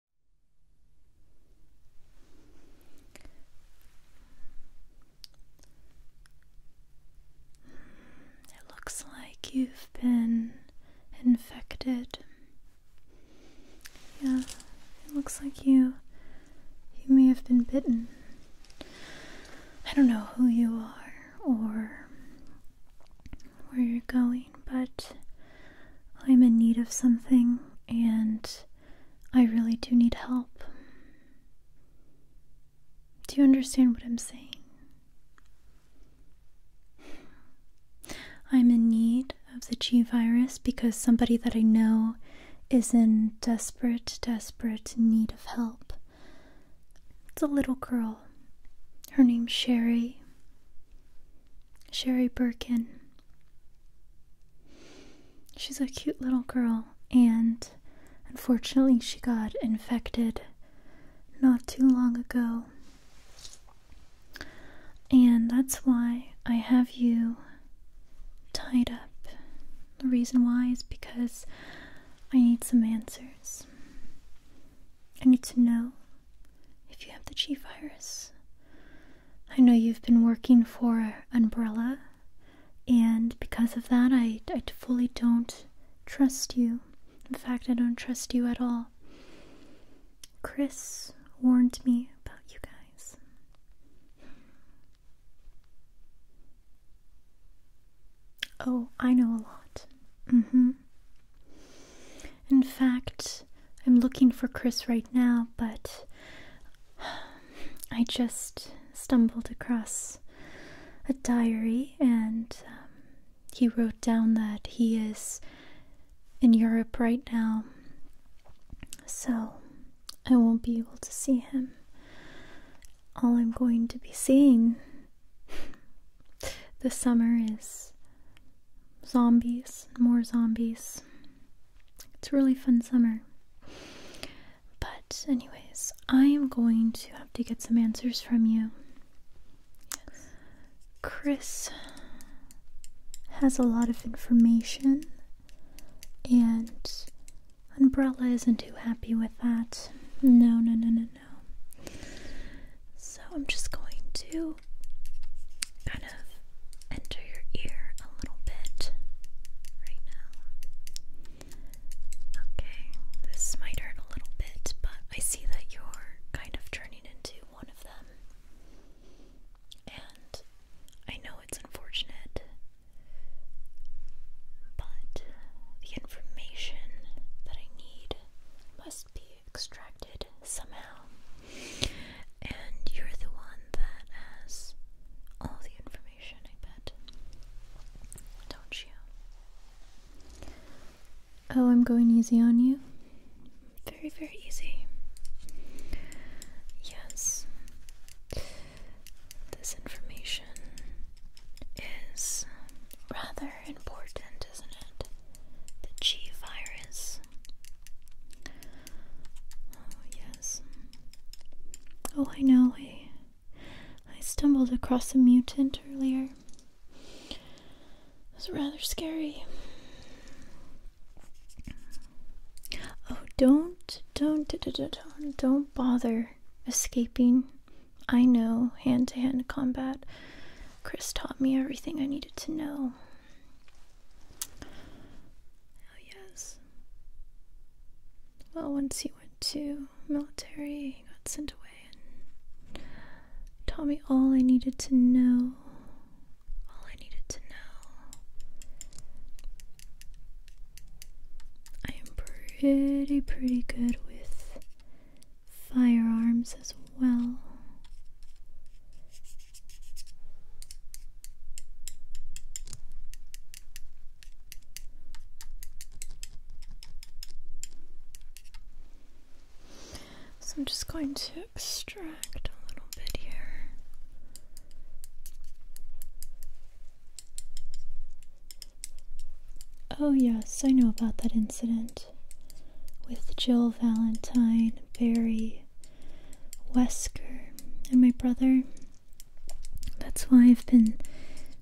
Hmm, it looks like you've been infected. Yeah, it looks like you you may have been bitten. I don't know who you are or where you're going, but I'm in need of something and I really do need help. Do you understand what I'm saying? I'm in need of the G virus because somebody that I know is in desperate, desperate need of help. It's a little girl. Her name's Sherry. Sherry Birkin. She's a cute little girl, and unfortunately, she got infected not too long ago. And that's why I have you tied up. The reason why is because I need some answers. I need to know if you have the G virus. I know you've been working for Umbrella, and because of that, I, I fully don't trust you. In fact, I don't trust you at all. Chris warned me about you guys. Oh, I know a lot. Mm hmm. In fact, I'm looking for Chris right now, but I just stumbled across a diary and um, he wrote down that he is in Europe right now. So I won't be able to see him. All I'm going to be seeing the summer is zombies, more zombies. It's a really fun summer. But, anyways, I am going to have to get some answers from you. Yes. Chris has a lot of information, and Umbrella isn't too happy with that. No, no, no, no, so I'm just going to kind of enter your ear a little bit right now. Okay, this might hurt a little bit, but I see that you're kind of turning into one of them. And I know it's unfortunate, but the information that I need must be extracted somehow. And you're the one that has all the information, I bet. Don't you? Oh, I'm going easy on you? Very, very easy. Yes. This information is rather important, isn't it? the G virus. Oh, yes. Oh, I know. I, I stumbled across a mutant earlier. It was rather scary. Oh, don't, don't, don't, don't bother escaping I know hand to hand combat. Chris taught me everything I needed to know. Oh, yes. Well, once he went to military, he got sent away and taught me all I needed to know. All I needed to know. I am pretty, pretty good with firearms as well. So I'm just going to extract a little bit here. Oh, yes, I know about that incident with Jill Valentine, Barry, Wesker, and my brother. That's why I've been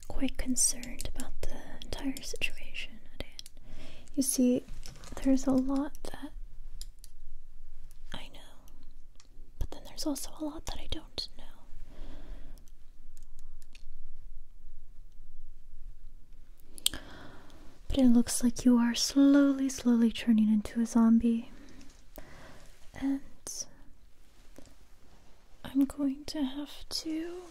quite concerned about the entire situation. You see, there's a lot that I know, but then there's also a lot that I don't know. But it looks like you are slowly, slowly turning into a zombie. And I'm going to have to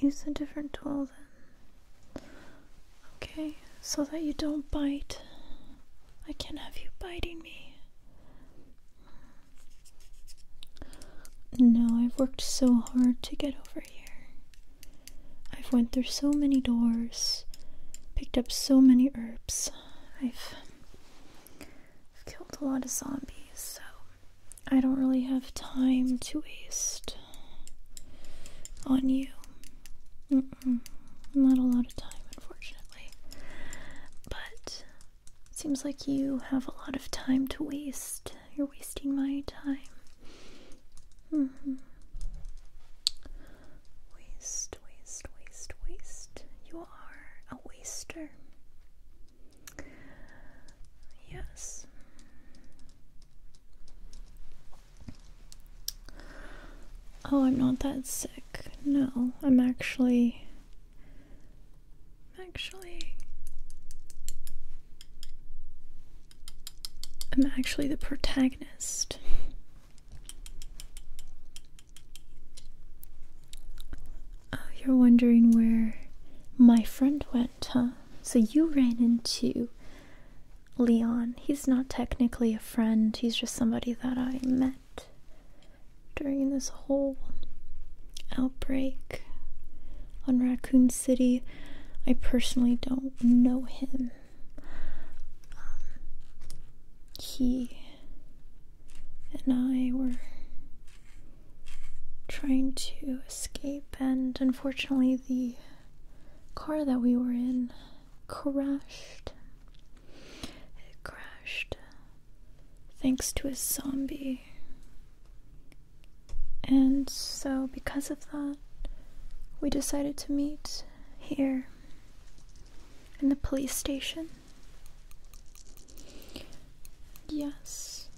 use a different tool then. Okay, so that you don't bite. I can't have you biting me. No, I've worked so hard to get over here. I've went through so many doors, picked up so many herbs. I've, I've killed a lot of zombies, so I don't really have time to waste on you. not a lot of time, unfortunately. But Seems like you have a lot of time to waste. You're wasting my time. Mm-hmm. Waste, waste, waste, waste. You are a waster. Yes. Oh, I'm not that sick. No, I'm actually actually I'm actually the protagonist. Oh, you're wondering where my friend went, huh? So you ran into Leon. He's not technically a friend, he's just somebody that I met during this whole outbreak on Raccoon City. I personally don't know him. Um, he and I were trying to escape, and unfortunately, the car that we were in crashed. It crashed thanks to a zombie. And so, because of that, we decided to meet here in the police station. Yes.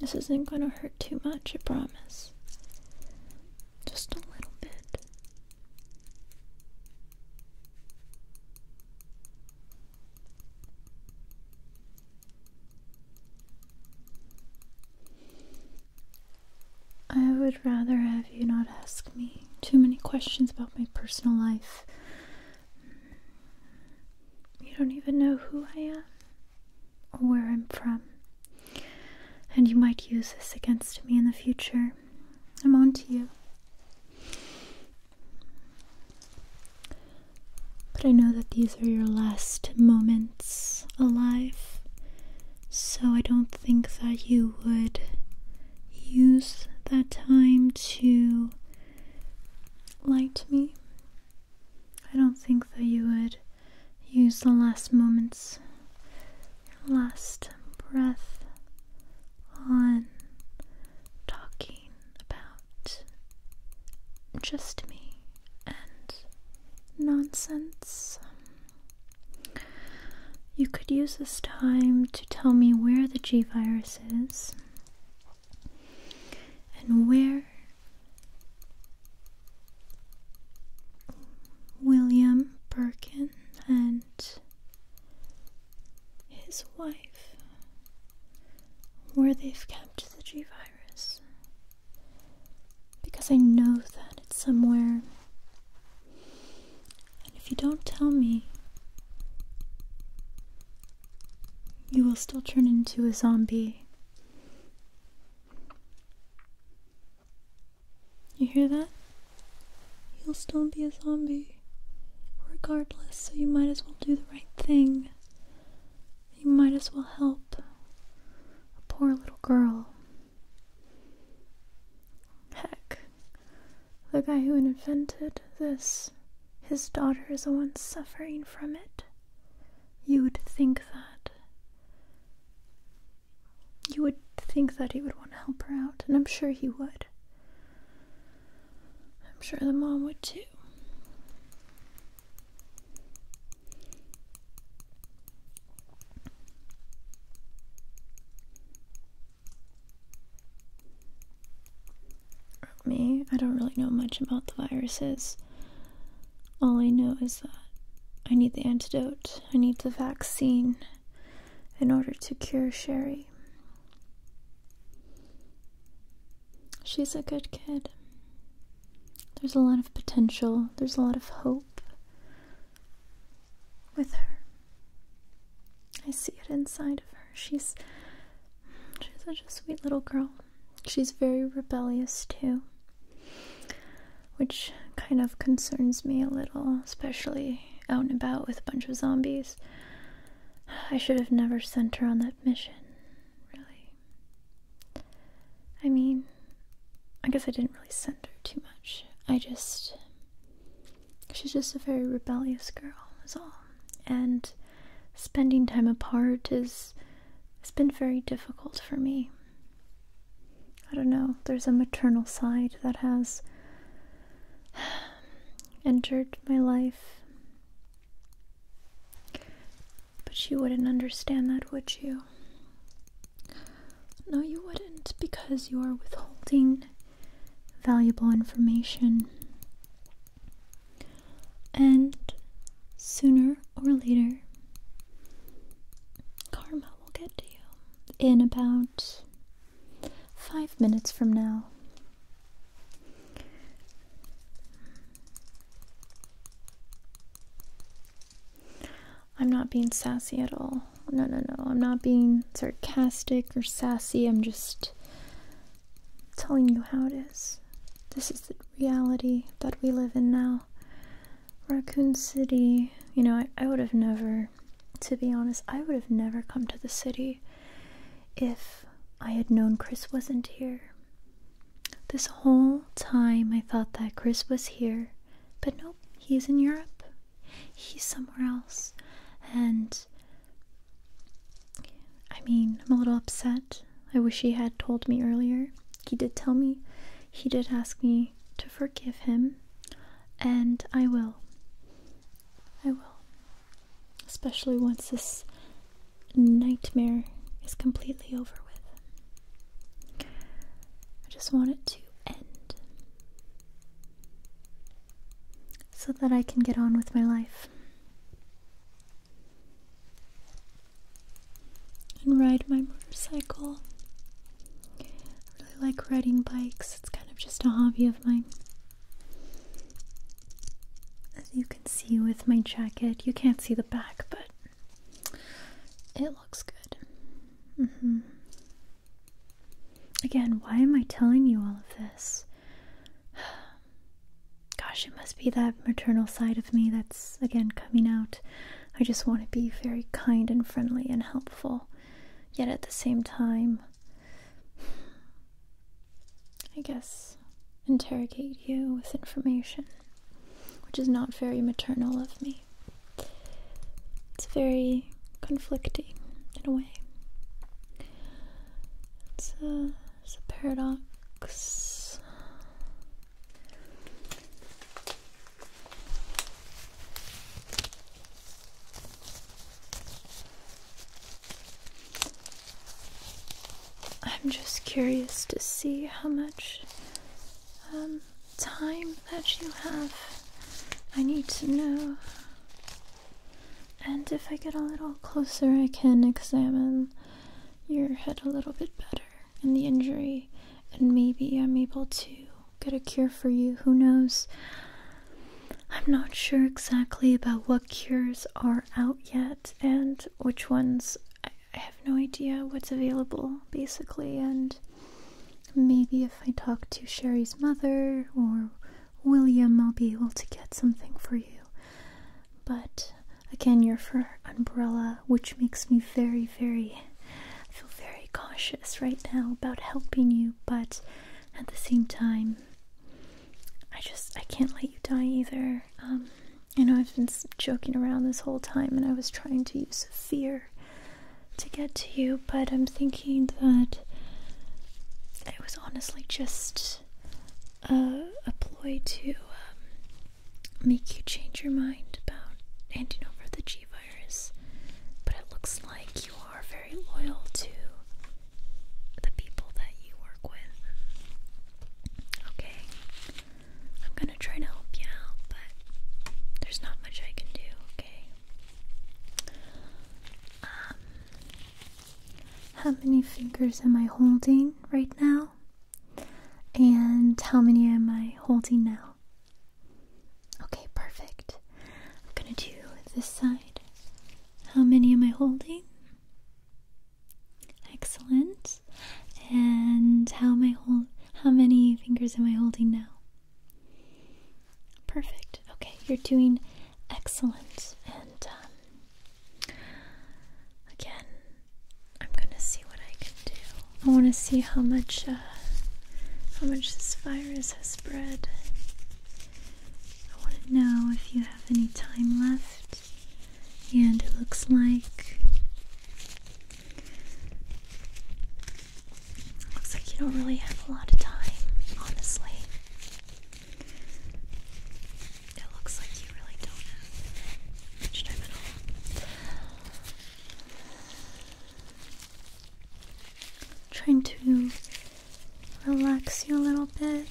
This isn't gonna hurt too much, I promise. Just a little bit. I would rather have you not ask me too many questions about my personal life. You don't even know who I am or where I'm from, and you might use this against me in the future. I'm on to you. But I know that these are your last moments alive, so I don't think that you would use that time to lie to me. I don't think that you would use the last moments your last breath on talking about just me and nonsense. You could use this time to tell me where the G virus is and where William Birkin and his wife where they've kept the G virus. Because I know that it's somewhere. And if you don't tell me, you will still turn into a zombie. You hear that? You'll still be a zombie. Regardless, so you might as well do the right thing. You might as well help a poor little girl. Heck, the guy who invented this, his daughter is the one suffering from it. You would think that. You would think that he would want to help her out, and I'm sure he would. I'm sure the mom would too. Me, I don't really know much about the viruses. All I know is that I need the antidote, I need the vaccine, in order to cure Sherry. She's a good kid. There's a lot of potential, there's a lot of hope with her. I see it inside of her. She's she's such a sweet little girl. She's very rebellious too which kind of concerns me a little, especially out and about with a bunch of zombies. I should have never sent her on that mission, really. I mean, I guess I didn't really send her too much. I just. She's just a very rebellious girl, is all. And spending time apart is. it has been very difficult for me. I don't know, there's a maternal side that has entered my life. But you wouldn't understand that, would you? No, you wouldn't, because you are withholding valuable information. And sooner or later, Karma will get to you in about five minutes from now. I'm not being sassy at all. No, no, no. I'm not being sarcastic or sassy. I'm just telling you how it is. This is the reality that we live in now. Raccoon City. You know, I, I would have never, to be honest, I would have never come to the city if I had known Chris wasn't here. This whole time I thought that Chris was here, but nope, he's in Europe. He's somewhere else. And I mean, I'm a little upset. I wish he had told me earlier. He did tell me. He did ask me to forgive him, and I will. I will. Especially once this nightmare is completely over with. I just want it to end so that I can get on with my life and ride my motorcycle. I really like riding bikes, it's kind of just a hobby of mine. As you can see with my jacket, you can't see the back, but it looks good. Mm-hmm. Again, why am I telling you all of this? Gosh, it must be that maternal side of me that's again coming out. I just want to be very kind and friendly and helpful. Yet at the same time, I guess interrogate you with information, which is not very maternal of me. It's very conflicting in a way. It's a, paradox. I'm just curious to see how much um, time that you have. I need to know. And if I get a little closer, I can examine your head a little bit better and the injury, and maybe I'm able to get a cure for you. Who knows? I'm not sure exactly about what cures are out yet and which ones. I, have no idea what's available, basically, and maybe if I talk to Sherry's mother or William, I'll be able to get something for you. But Again, your fur umbrella, which makes me very, very, feel very cautious right now about helping you, but at the same time, I just, I can't let you die either. You um, know I've been joking around this whole time and I was trying to use fear to get to you, but I'm thinking that it was honestly just a, a ploy to um, make you change your mind about handing over the G virus, but it looks like you are very loyal to the people that you work with. Okay, I'm gonna try to help you out, but there's not much I can do, okay? Um, how many fingers am I holding right now? And how many am I holding now? Okay, perfect. I'm gonna do this side. How many am I holding? Excellent. And how many fingers am I holding now? Perfect. Okay, you're doing excellent. And um, again, I'm gonna see what I can do. I want to see how much, uh, how much this virus has spread. I want to know if you have any time left, and it looks like, looks like you don't really have a lot of time, honestly. It looks like you really don't have much time at all. Trying to relax you a little bit.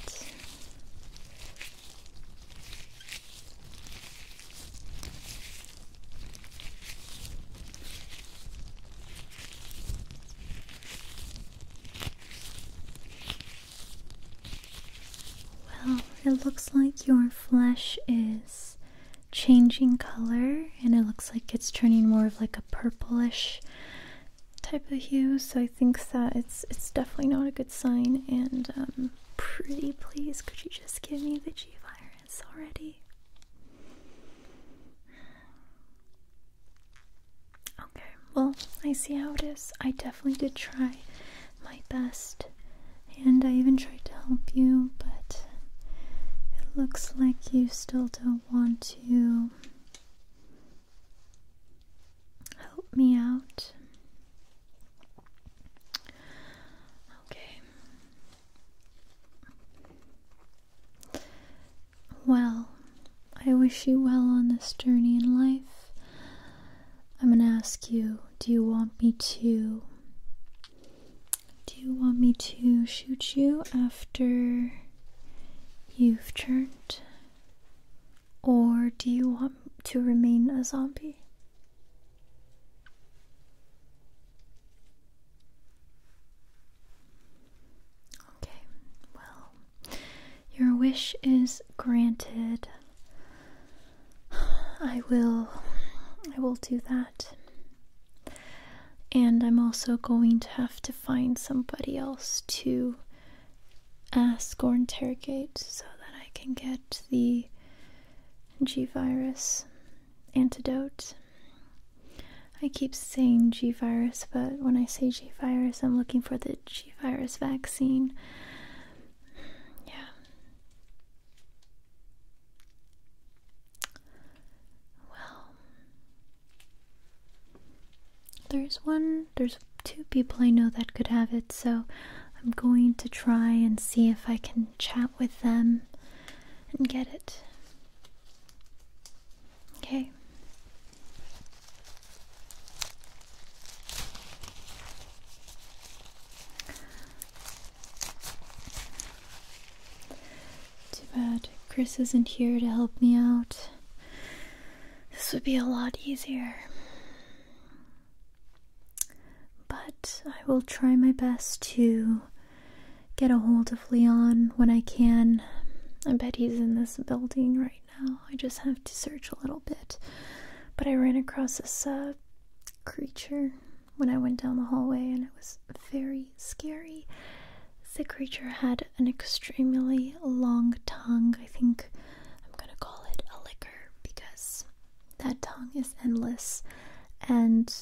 Well, it looks like your flesh is changing color and it looks like it's turning more of like a purplish type of hue, so I think that it's it's definitely not a good sign and um pretty please could you just give me the G virus already? Okay, well, I see how it is. I definitely did try my best, and I even tried to help you, but it looks like you still don't want to help me out. Okay. Well, I wish you well on this journey in life. I'm going to ask you, do you want me to do you want me to shoot you after you've turned? Or do you want to remain a zombie? Okay, well, your wish is granted. I will I will do that. And I'm also going to have to find somebody else to ask or interrogate so that I can get the G virus antidote. I keep saying G virus, but when I say G virus, I'm looking for the G virus vaccine yeah. Well, there's one, there's two people I know that could have it, so I'm going to try and see if I can chat with them and get it. Okay. Too bad Chris isn't here to help me out. This would be a lot easier. But I will try my best to get a hold of Leon when I can. I bet he's in this building right right now. I just have to search a little bit. But I ran across this uh, creature when I went down the hallway, and it was very scary. The creature had an extremely long tongue. I think I'm gonna call it a liquor because that tongue is endless, and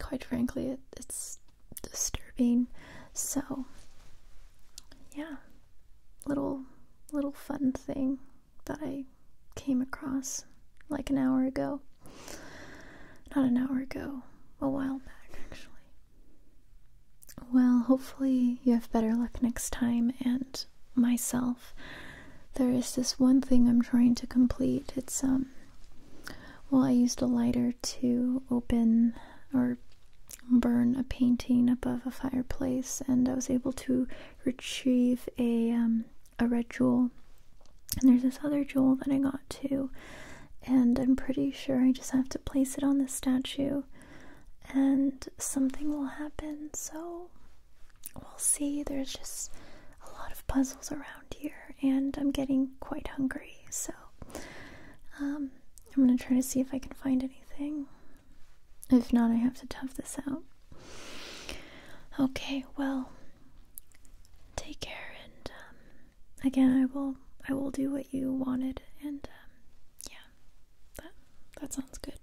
quite frankly, it's disturbing. So, yeah, little little fun thing that I came across like an hour ago. Not an hour ago, a while back actually. Well, hopefully you have better luck next time and myself. There is this one thing I'm trying to complete. It's um well, I used a lighter to open or burn a painting above a fireplace, and I was able to retrieve a um, a red jewel. And there's this other jewel that I got too, and I'm pretty sure I just have to place it on the statue, and something will happen. So we'll see. There's just a lot of puzzles around here, and I'm getting quite hungry, so. Um, I'm gonna try to see if I can find any if not, I have to tough this out. Okay, well, take care, and um, again, I will, I will do what you wanted, and um, yeah, that that sounds good.